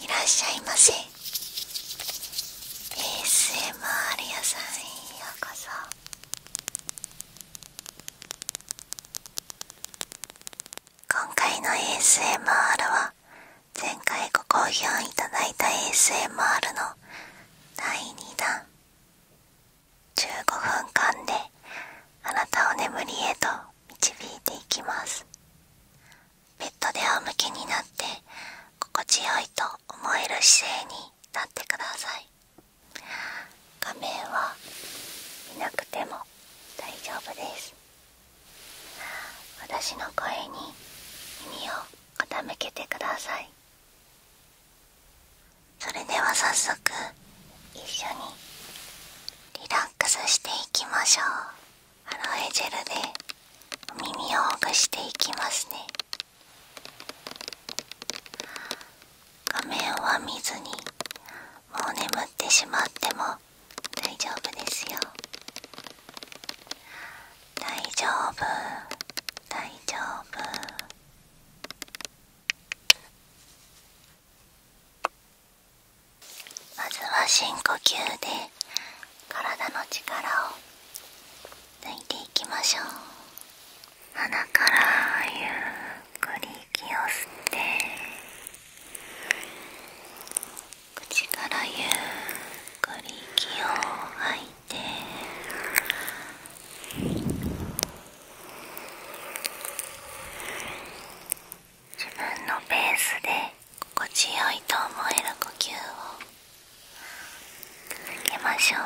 いらっしゃいませ ASMR 屋さんへようこそ今回の ASMR は前回ご好評いただいた ASMR の第2弾15分間であなたを眠りへと導いていきますベッドで仰向けになって心地よいと思える姿勢になってください画面は見なくても大丈夫です私の声に耳を傾けてくださいそれでは早速一緒にリラックスしていきましょうアロエジェルでお耳をほぐしていきますね画面は見ずにもう眠ってしまっても大丈夫ですよ大丈夫大丈夫まずは深呼吸で体の力を抜いていきましょう鼻からゆっくり息を吸って口からゆっくり息を吐いて自分のペースで心地よいと思える呼吸を続けましょう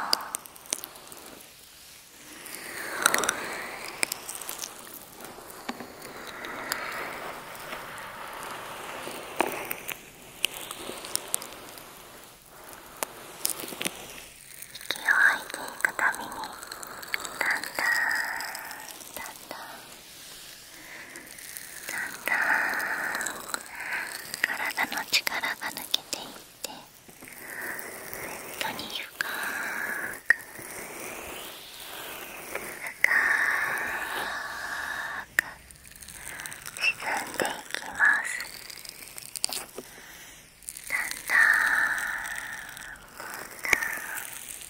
息を吐いていくためにだんだんだんだん。だんだん、体の力が抜けていってベッドに深く深く沈んでいきますだんだんだんだ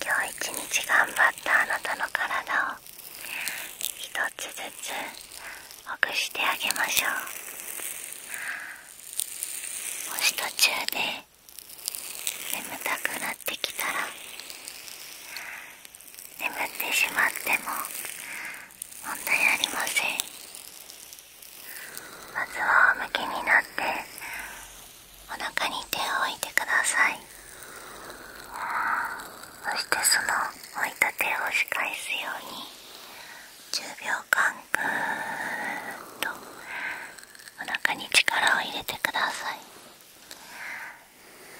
今日一日頑張ったあなたの体を一つずつほぐしてあげましょうもし途中で眠たくなってきたら眠ってしまっても問題ありませんまずは仰向けになってお腹に手を置いてくださいそしてその置いた手をし返すように10秒間ぐーっとお腹に力を入れてください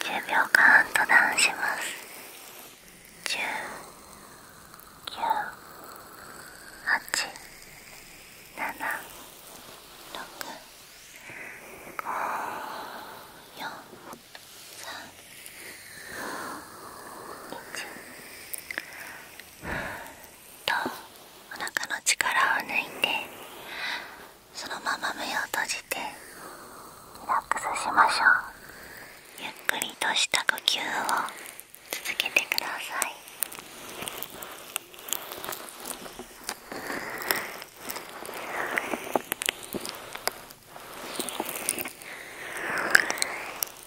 10秒間とダンします10 9 8 7 6 5 4 3 2 1とお腹の力を抜いてそのまま目を閉じてリラックスしましょうゆっくりとした呼吸を続けてください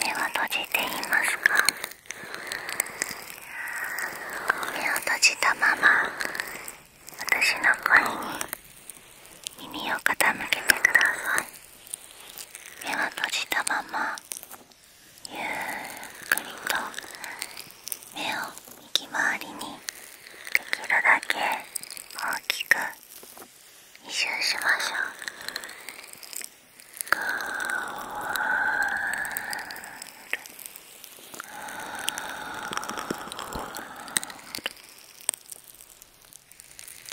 目は閉じていますか目を閉じたまま私の声に耳を傾けてください目は閉じたままゆっくりと目を右回りにできるだけ大きく一周しましょうぐー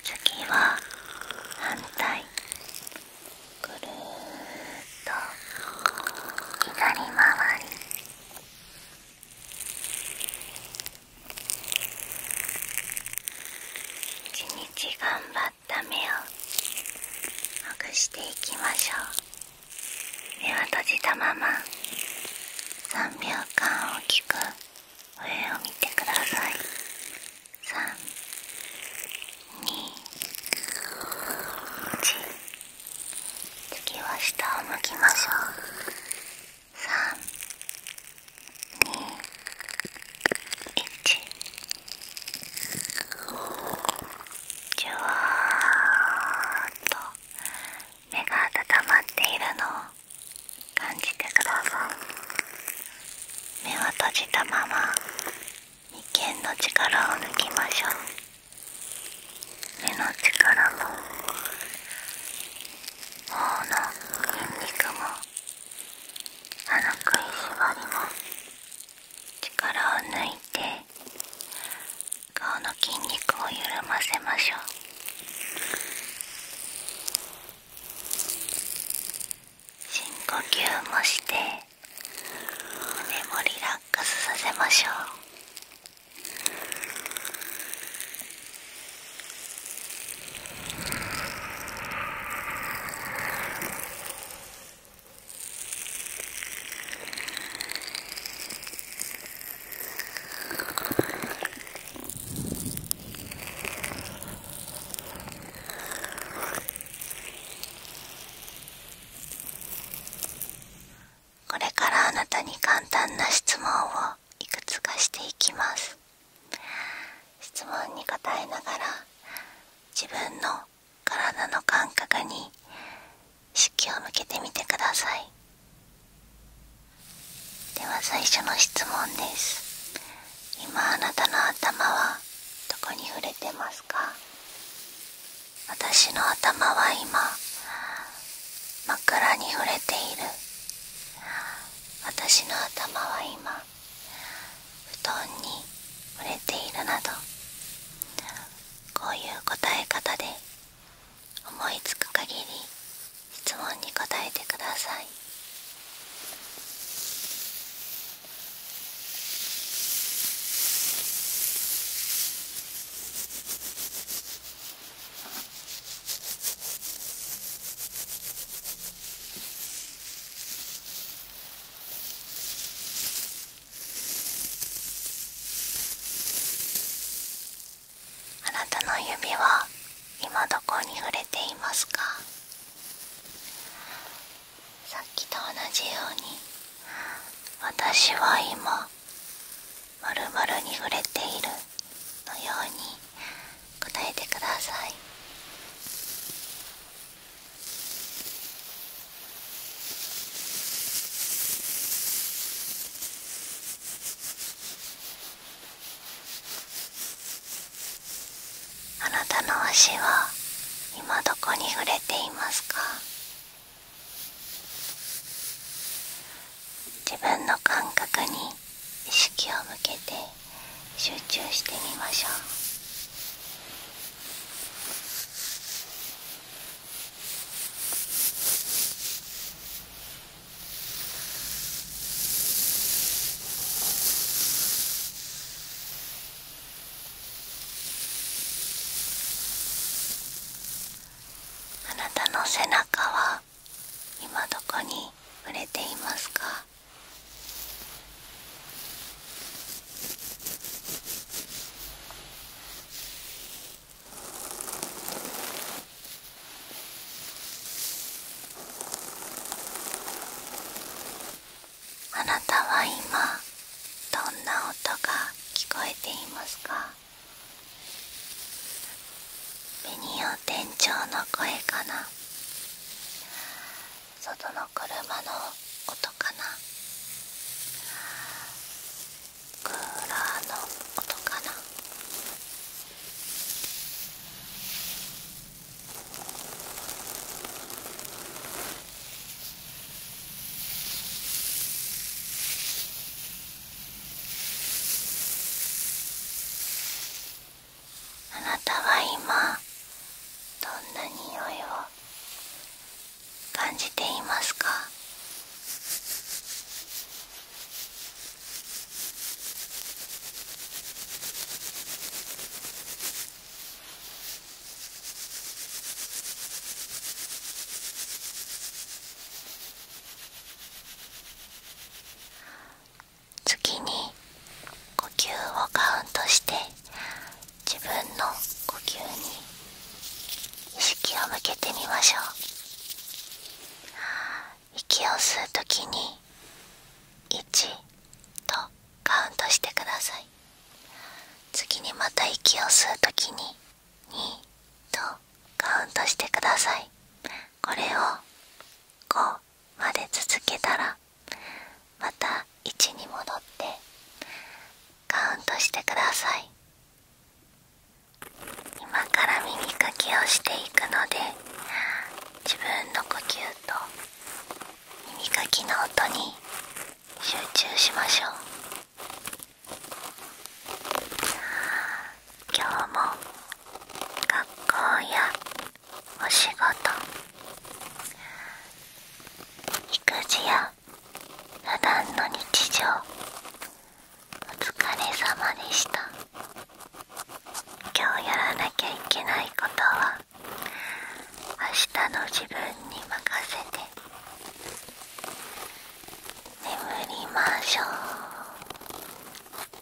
次は反対ぐるーっと左回り。1日頑張った目をほぐしていきましょう目は閉じたまま3秒間大きく上を見てください321次は下を向きましょう3、2、じゅわーっと目が温まっているのを感じてください目は閉じたまま眉間の力を抜きましょう目の力も。脳の筋肉もあの食いしばりも力を抜いて顔の筋肉を緩ませましょう深呼吸もして胸もリラックスさせましょうこれからあなたに簡単な質問をいくつかしていきます質問に答えながら自分の体の感覚に意識を向けてみてくださいでは最初の質問です今あなたの頭はどこに触れてますか私の頭は今枕に触れている私の頭は今布団に触れているなどこういう答え方で思いつく限り質問に答えてくださいあなたの指は今どこに触れていますかさっきと同じように私は今まるまるに触れているのように答えてくださいあなたの足は今どこに触れていますか自分の感覚に意識を向けて集中してみましょう。あなたの背中は今どこに触れていますかあなたは今どんな音が聞こえていますかミニオン店長の声かな外の車の音かなクーラーの音かなあなたは今どんな匂いを感じていますか次に呼吸をカウントして自分の呼吸に意識を向けてみましょう息を吸う時に1とカウントしてください次にまた息を吸う時に2とカウントしてくださいこれをまで続けたらまた1に戻ってカウントしてください今から耳かきをしていくので自分の呼吸と耳かきの音に集中しましょう今日も学校やお仕事育児や普段の日常お疲れ様でした今日やらなきゃいけないことは明日の自分に任せて眠りましょう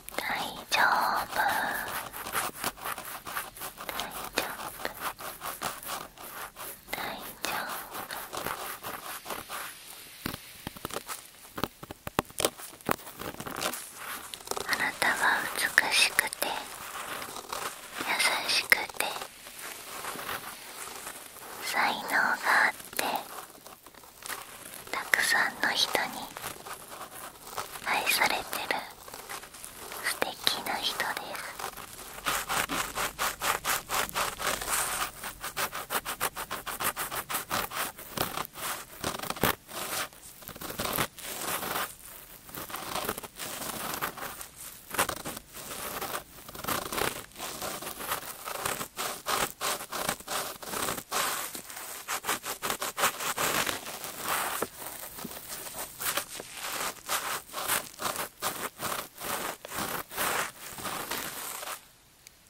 大丈夫大丈夫大丈夫あなたは美しくて優しくて才能があってたくさんの人に愛されてる素敵な人です「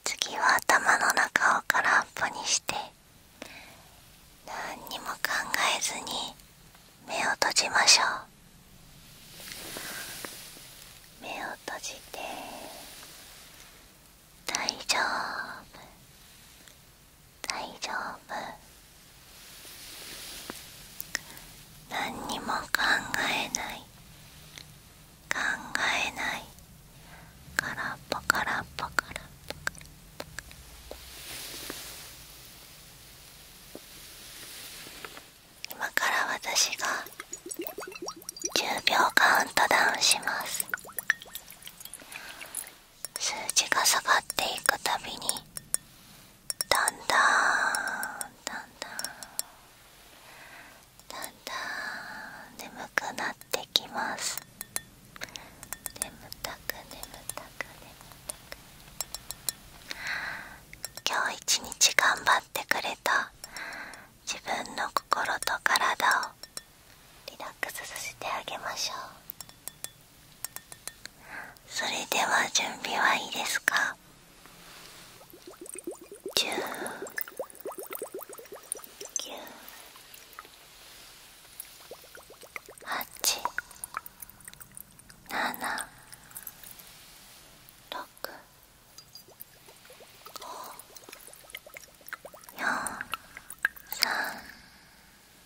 次は頭の中を空っぽにして何にも考えずに目を閉じましょう目を閉じて大丈夫大丈夫何にも考えない考えないからっぽからっぽからっぽからっぽ今から私が10秒カウントダウンします数字が下がっていくたびにだんだんだんだんだんだん眠くなってきます眠たく眠たく眠たく今日一日頑張ってくれた自分の心と体をリラックスさせてあげましょうそれでは準備はいいですか10 9 8 7 6 5 4 3 2 1